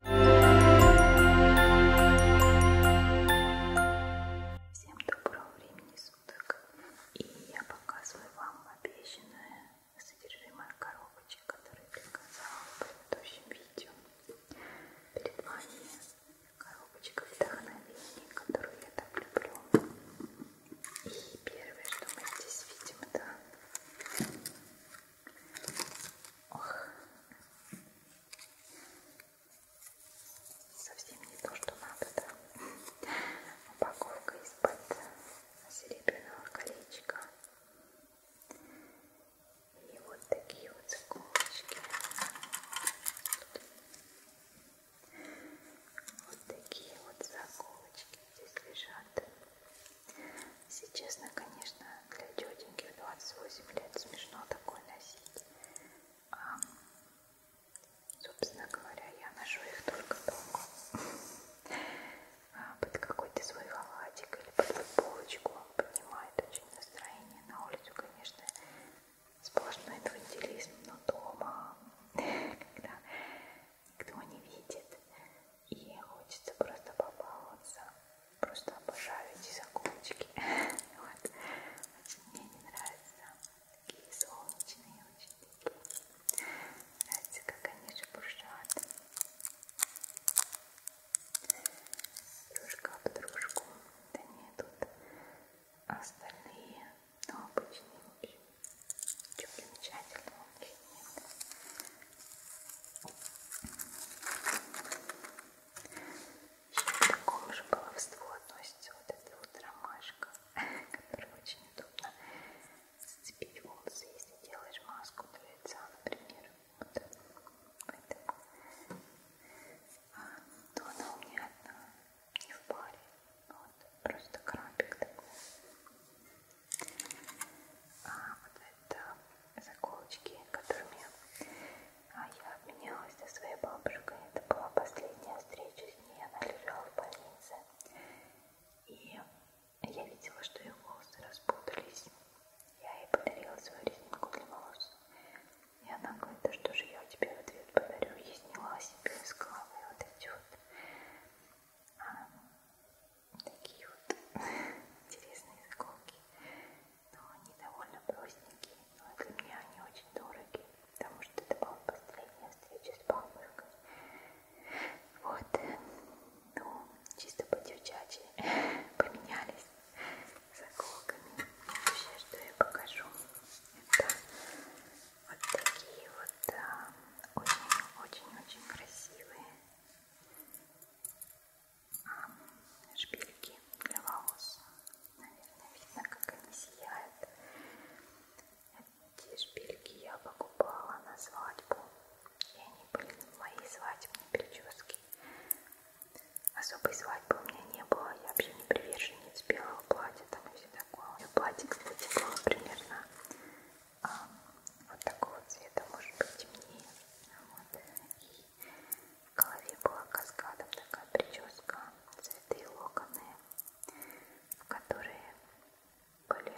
Всем доброго времени суток! И я показываю вам обещанное содержимое коробочек, которые приказала в предыдущем видео. Перед вами коробочка вдохновения, которую я так люблю. И первое, что мы здесь видим, это Ох. Совсем не то, что надо, да? Упаковка из-под серебряного колечка. И вот такие вот заколочки. Вот такие вот заколочки здесь лежат. Если честно, конечно, для тетеньки в 28 лет смешно такое носить. А, собственно говоря, я ношу их только дома. А, под какой-то свой халатик или под футболочку. Поднимает очень настроение. На улицу, конечно, сплошной инфантилизм, но дома, когда никто не видит, и хочется просто побаловаться. Просто обожаю эти закончики. Вот. Очень мне не нравятся. Такие солнечные, очень такие. Нравится, как они же буржуат. Дружка в дружку. Да нет, тут остальные, но обычные, в общем. Ничего примечательного у них нет. Еще к такому же баловству относится вот эта вот ромашка, которая очень удобно зацепить волосы, если делаешь маску для лица, например. Вот. Поэтому. А, то она у меня одна, не в паре. Вот, просто крабик такой. А вот это заколочки, которыми а, я обменялась со своей бабушкой. Это была последняя встреча с ней, она лежала в больнице. И я видела, что ее волосы распутались. Я ей подарила свою резинку для волос. И она говорит, да что же я тебе в ответ подарю. И сняла себе с головы вот эти вот а, такие вот интересные заколки но они довольно простенькие, но для меня они очень дороги, потому что это была последняя встреча с бабушкой. Вот, ну, чисто по-девчачьи поменялись заколками. Вообще, что я покажу, это вот такие вот а, очень-очень-очень красивые шпильки для волос. Наверное, видно, как они сияют. Эти шпильки я покупала на свадьбу. И они были в моей свадебной прическе. Особой свадьбы у меня не было. Я вообще не приверженец белого платья там и все такое. У меня платье, кстати, было примерно а, вот такого цвета, может быть темнее. Вот. И в голове была каскадом такая прическа, цветы и локоны, которые были,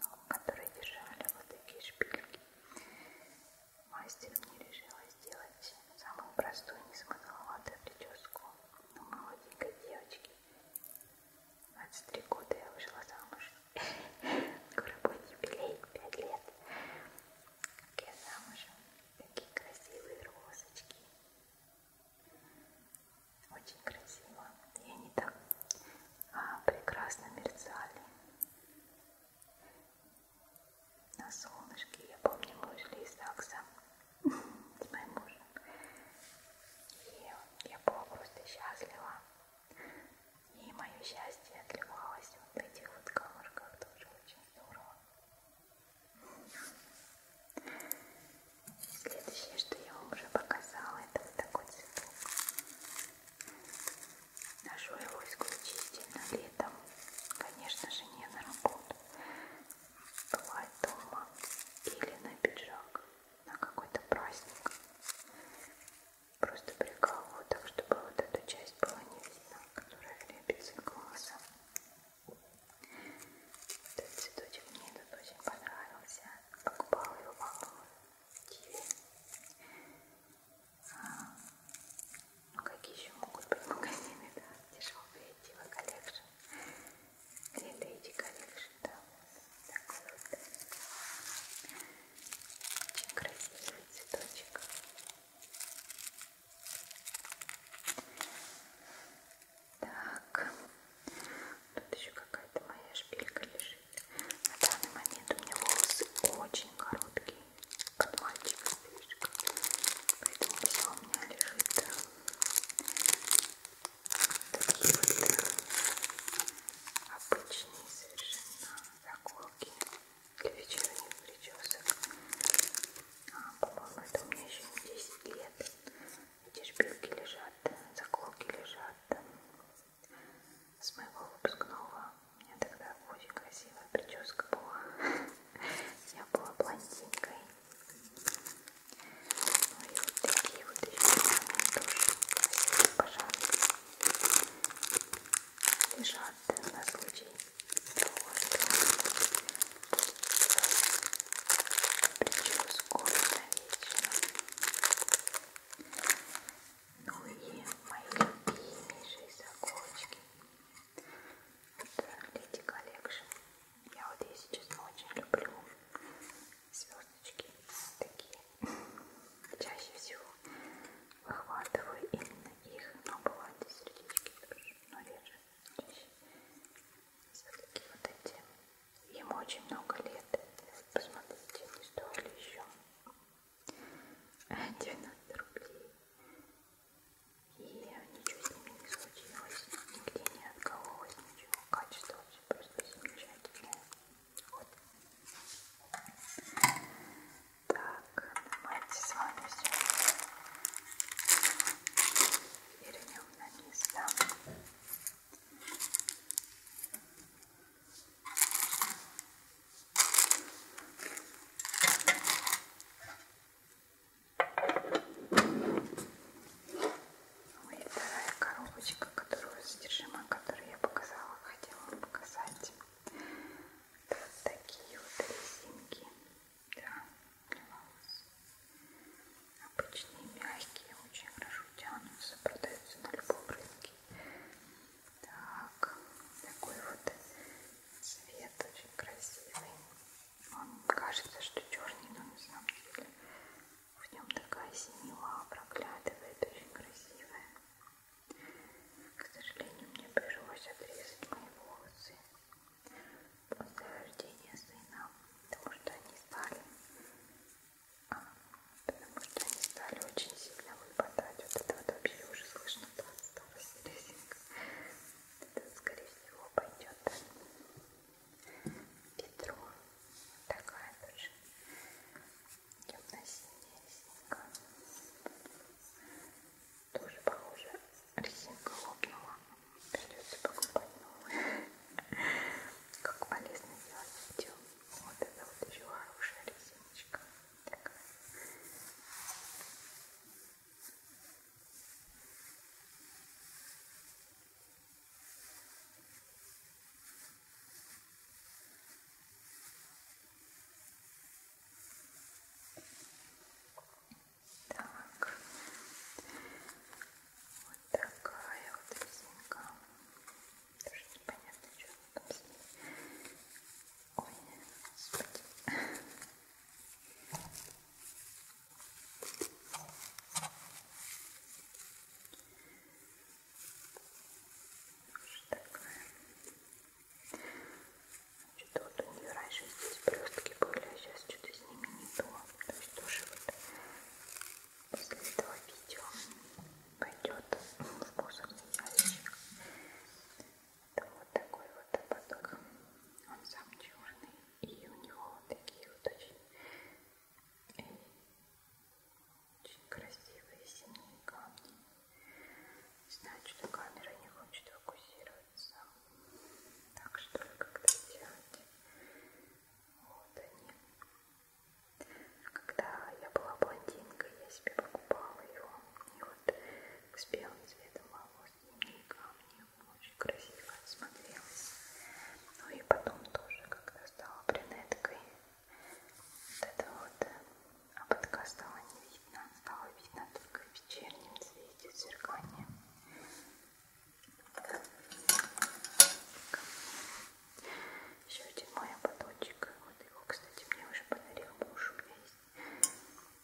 ну, которые держали вот такие шпильки. Мастер мне решила сделать самую простую, незамысловатую прическу но ну, молоденькой девочки. 23 года я вышла замуж. Скоро будет юбилей, 5 лет как я замужем, такие красивые розочки. Очень красиво. И они так а, прекрасно мерцали. На солнышке, я помню, мы ушли из Акса с моим мужем. И я была просто счастлива. И мое счастье отливалось вот в этих вот каморках, тоже очень здорово. Следующее, что я вам уже показала, это вот такой цветок. Ношу его исключительно летом. Конечно же, не на работу. Бывает дома или на пиджак, на какой-то праздник. Просто прикалываю так, чтобы вот эту часть была не видна, которая лепится глазом. Этот цветочек мне тут очень понравился. Покупала его, по-моему, а, ну какие еще могут быть магазины, да? Дешевые Diva Collection. Или Lady Collection, да. Такой вот. Очень красивый цветочек. Так, тут еще какая-то моя шпилька лежит. На данный момент у меня волосы очень короткие, под мальчика слишком. Поэтому все у меня лежит такие вот обычные совершенно заколки к вечеру не увлечешься. А, по-моему, это у меня еще не 10 лет. Эти шпильки лежат, заколки лежат. С моего выпускного у меня тогда очень красивая прическа была. Я была блондинкой. Ну и вот такие вот еще тоже, пожалуйста, лежат на случай, прическу навечно. Ну и мои любимейшие заколочки. Леди Коллекшн. Я вот ее сейчас очень люблю. Звездочки такие. Чаще всего выхватываю именно их, но бывают и сердечки тоже, но реже, чаще. Все-таки вот эти, ему очень много лет, посмотрите, они стоили еще 90 рублей. И ничего с ними не случилось, нигде не откололось ничего, качество вообще просто замечательное. Вот. Так, давайте с вами все вернем на место. Ну и вторая коробочка, которую содержимое которой я показала, хотела вам показать вот такие вот резинки да, для волос. Обычные, мягкие, очень хорошо тянутся, продаются на любом рынке. Так, такой вот цвет очень красивый. Он кажется, что черный, но на самом деле в нем такая синева проглядывает, очень красивая. К сожалению, мне пришлось отрезать мои волосы после рождения сына, потому что они стали, а, потому что они стали очень сильно выпадать. Вот это вот вообще уже слышно, да, осталась резинка. Это, скорее всего, пойдет Петро. Такая тоже темно-синяя резинка. Тоже похоже, резинка лопнула. Придется покупать новую. Как полезно делать видео. Вот это вот еще хорошая резиночка. Такая. Ой, так. Вот такая вот резинка. Тоже непонятно, что там с ней. Ой, господи. Такая. Что-то вот у нее раньше здесь блестки были, а сейчас что-то с ними не то. Ну то есть тоже вот после этого видео пойдет вкусовый зайчик. Это вот такой вот ободок. Он сам черный. И у него вот такие вот очень, э, очень красивые синие камни. Не знаю, что камера не хочет фокусироваться. Так что ли как-то делать? Вот они. Когда я была блондинкой, я себе покупала его. И вот с белым цветом волос и камни. Очень красиво смотрелось. Ну и потом тоже, когда стала брюнеткой, вот это вот а потка стала не видно, стало видно только в вечернем цвете зеркания. Еще один мой ободочек. Вот его, кстати, мне уже подарил муж. У меня есть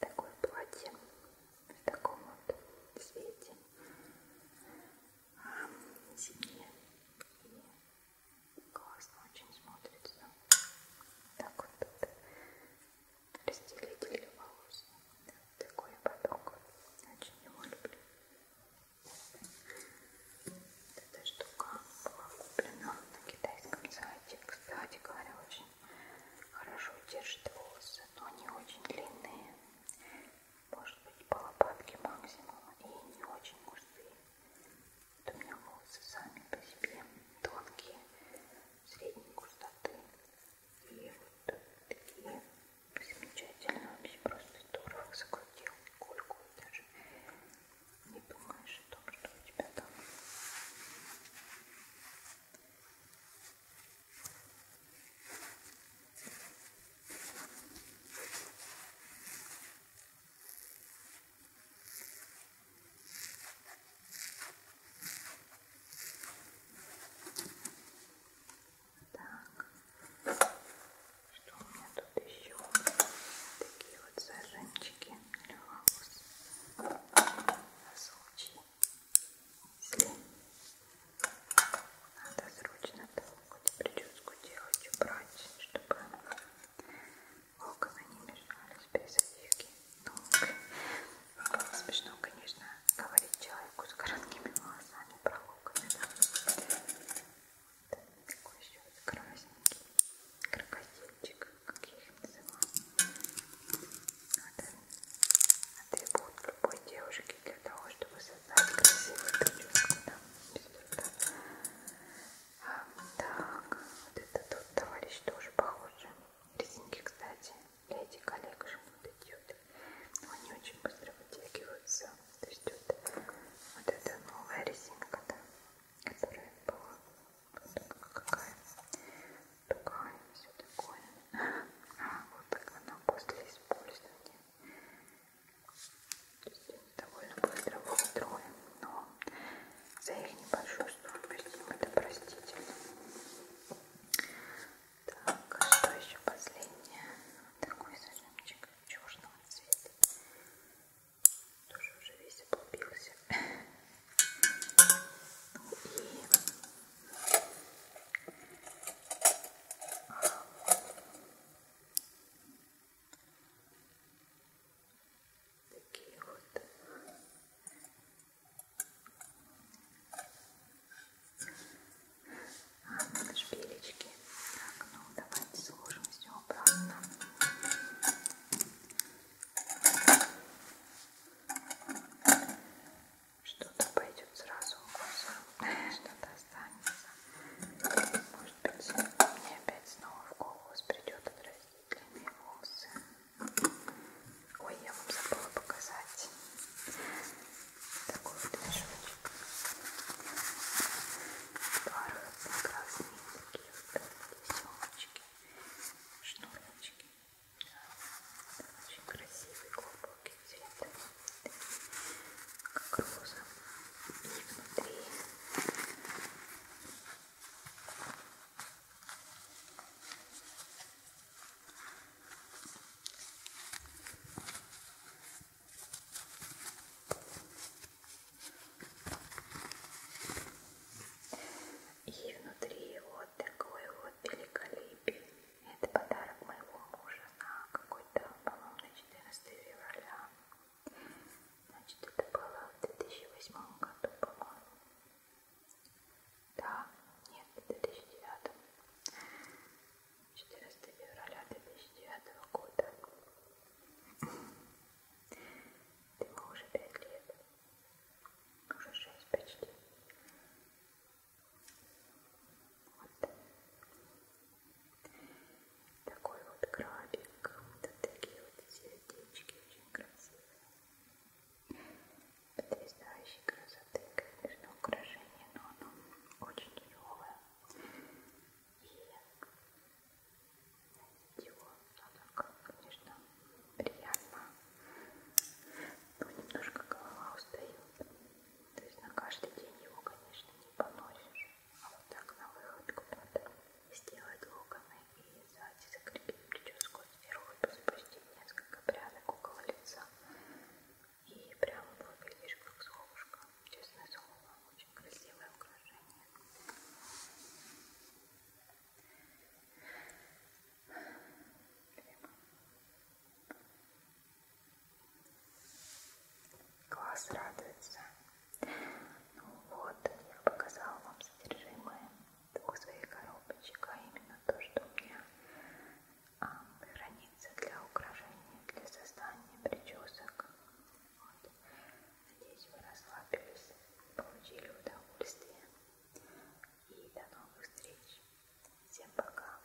такое платье в таком вот цвете. А, зимнее. И классно очень смотрится. Так вот тут разделитель волос. Такой поток. Очень его люблю. Эта штука была куплена на китайском сайте. Кстати говоря, очень хорошо держит волосы, но не очень длинные. Может быть, по лопатке максимум и не очень густые. Вот у меня волосы сами по себе тонкие, средней густоты. И вот такие замечательно вообще просто здорово закрутил кольку и даже не думаешь о том, что у тебя там. Так, что у меня тут еще? Такие вот зажимчики для волос. На случай, если надо срочно какую-то прическу делать, убрать, чтобы локоны не мешались при завивке ног. Смешно, конечно, говорить человеку с короткими волосами про локоны. Да? Такой еще красненький крокодильчик, как я их называю. Это атрибут любой девушки для того, чтобы создать красивую прическу. Да? А, так, вот это тот товарищ тоже похоже. Резинки, кстати, для этих коллекшн вот идет. Но они очень быстро вытягиваются. То есть вот, вот эта новая резинка, да, которая была вот какая тугая, все такое. А, вот так она после использования. То есть довольно быстро выстроен, но за их небольшую стоимость им это простительно. Так, а что еще последнее? Такой зажимчик в черном цвете. Тоже уже весь облупился. Ну и Такие вот шпилечки. Так, ну давайте сложим все обратно. Что-то пойдет сразу в глаза, что-то останется. Может быть, мне опять снова в голову придет отрастить длинные волосы. Ой, я вам забыла показать такой вот мешочек. Бархатно-красные такие вот веселочки, шнурочки. Да, очень красивый глубокий цвет, как роза. И внутри и внутри вот такое вот великолепие. Это подарок моего мужа на какой-то, по-моему, на 14 февраля. Значит, это было в 2008 году, по-моему. Да, нет, в 2009. 14 февраля 2009 года. Ему уже 5 лет. Уже 6 почти. Вот. Такой вот крабик. Вот такие вот сердечки очень красивые потрясающей красоты, конечно, украшение, но оно очень тяжелое. И ничего, оно как, конечно, приятно, но ну, немножко голова устает. То есть на каждый день его, конечно, не поносишь. А вот так на выходку надо сделать локоны и завязать, закрепить прическу сверху и запустить несколько прядок около лица. И прям выглядишь как солнышко. Честное слово, очень красивое украшение. Класс радуется. Ну вот, я показала вам содержимое двух своих коробочек, а именно то, что у меня а, хранится для украшения, для создания причесок. Вот. Надеюсь, вы расслабились, получили удовольствие. И до новых встреч. Всем пока.